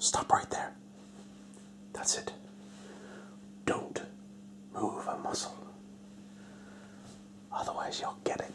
Stop right there. That's it. Don't move a muscle. Otherwise, you'll get it.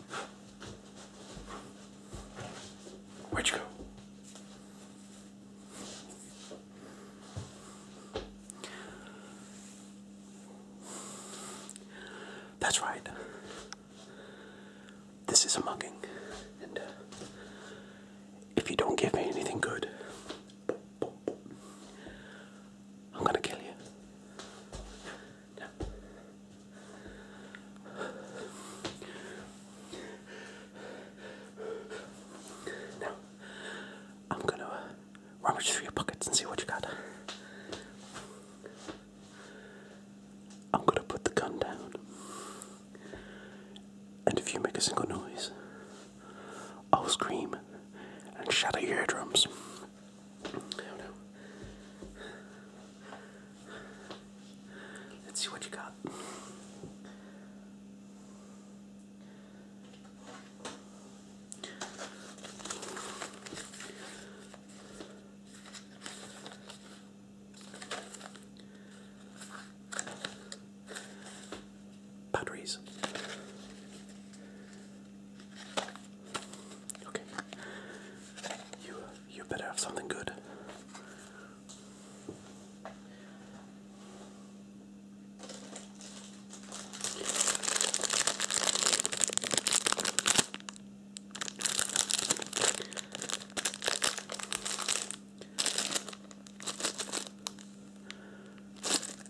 Where'd you go? That's right. This is a mugging, and uh, if you don't give me anything good, I'm gonna kill you. Now, I'm gonna uh, rummage through your pockets and see what you got. I'm gonna put the gun down, and if you make a single noise, I'll scream and shatter your eardrums. Let's see what you got batteries. Okay. You you better have something good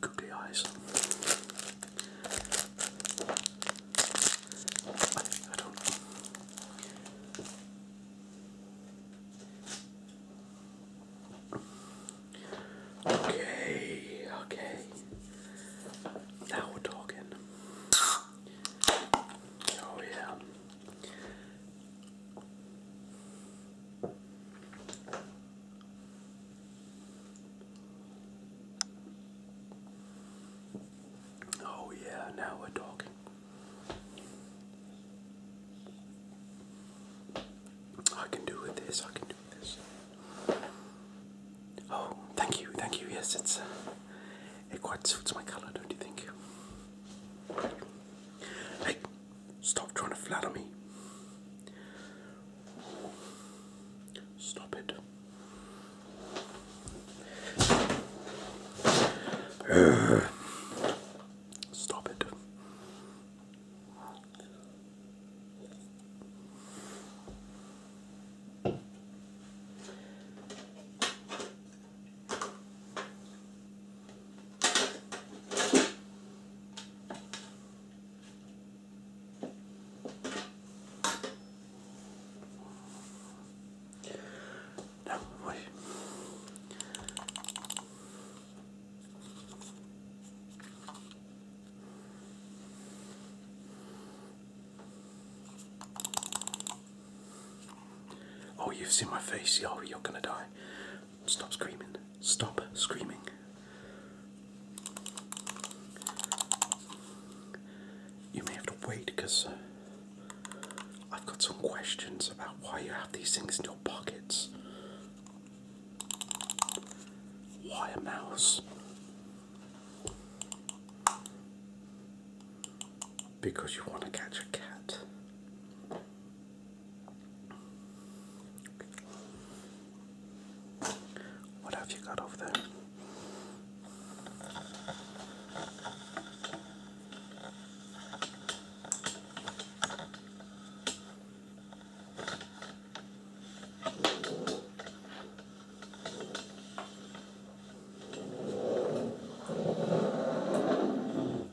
googly eyes. I, I Okay, okay. Now we're talking. Oh, yeah. Oh, yeah, now we're talking. I can do with this, I can do with this. Oh, thank you, thank you. Yes, it's uh, it quite suits my color, don't you think? Hey, Stop trying to flatter me. Stop it. stop it. Oh, you've seen my face. Oh, you're gonna die. Stop screaming. Stop screaming. You may have to wait because uh, I've got some questions about why you have these things in your pockets. Why a mouse? Because you want to catch a cat. What have you got over there?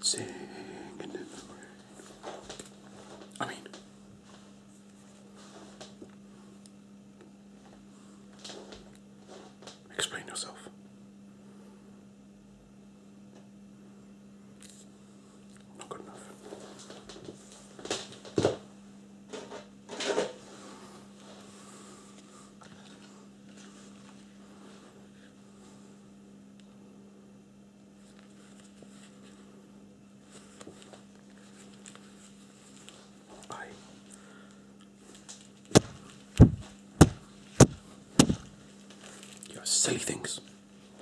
Singing in the rain. I mean, explain yourself. Not good enough you are silly things.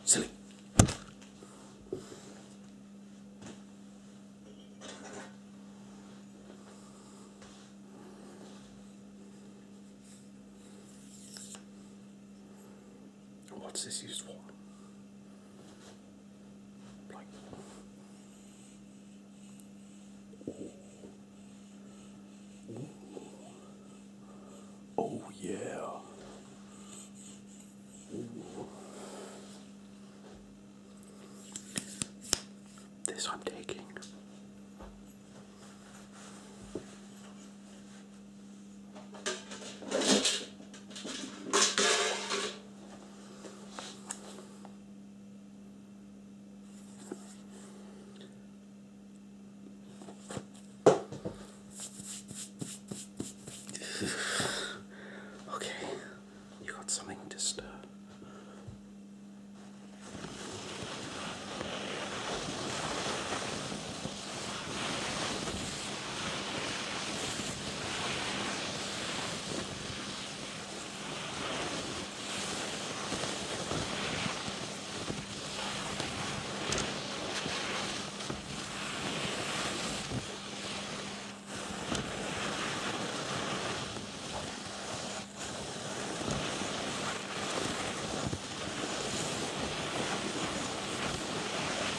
Silly what's this used for? Like Oh yeah. This I'm taking. okay, you got something to stir.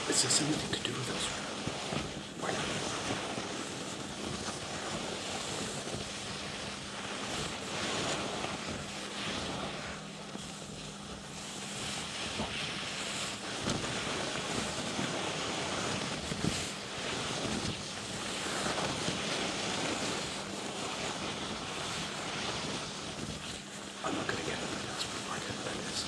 Is this anything to do with us? Why not? I'm not going to get anything else from my head like this.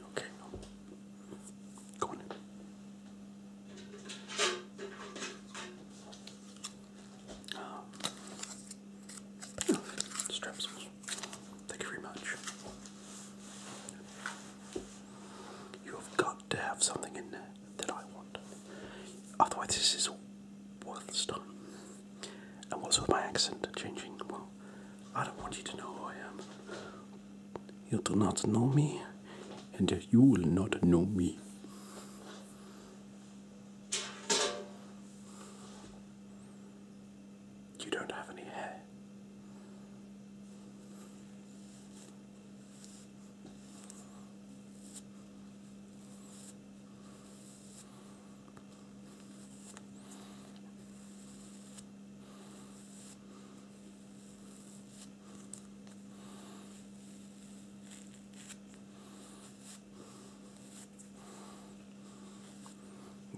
Okay, go in. oh, um, straps. Thank you very much. You have got to have something in there that I want. Otherwise, this is all worthless time. And what's with my accent changing? Well, I don't want you to know who I am. You do not know me, and you will not know me. You don't have any hair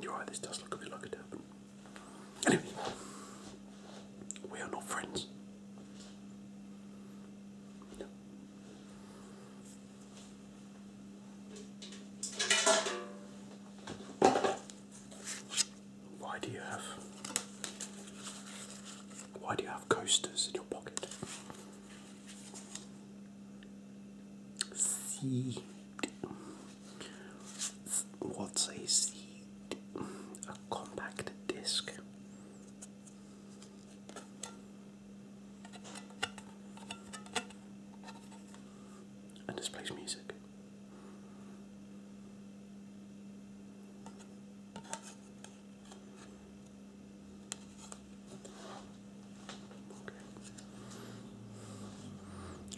you right, this does look a bit like a turban. Anyway, we are not friends. Why do you have why do you have coasters in your pocket? See what's a CD? A compact disc. And displays music.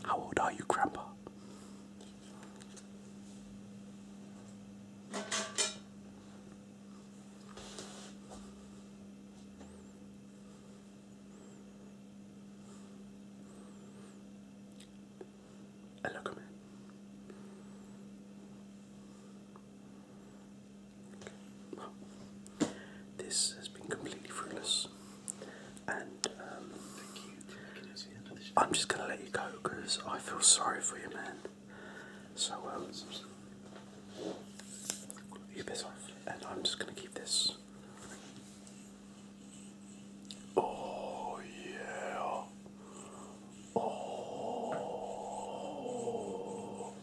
How old are you, Grandpa? Hello, come Okay. Well, this has been completely fruitless and um, I'm just gonna let you go because I feel sorry for you, man. So um, you piss off, and I'm just gonna keep this. Oh yeah. Oh.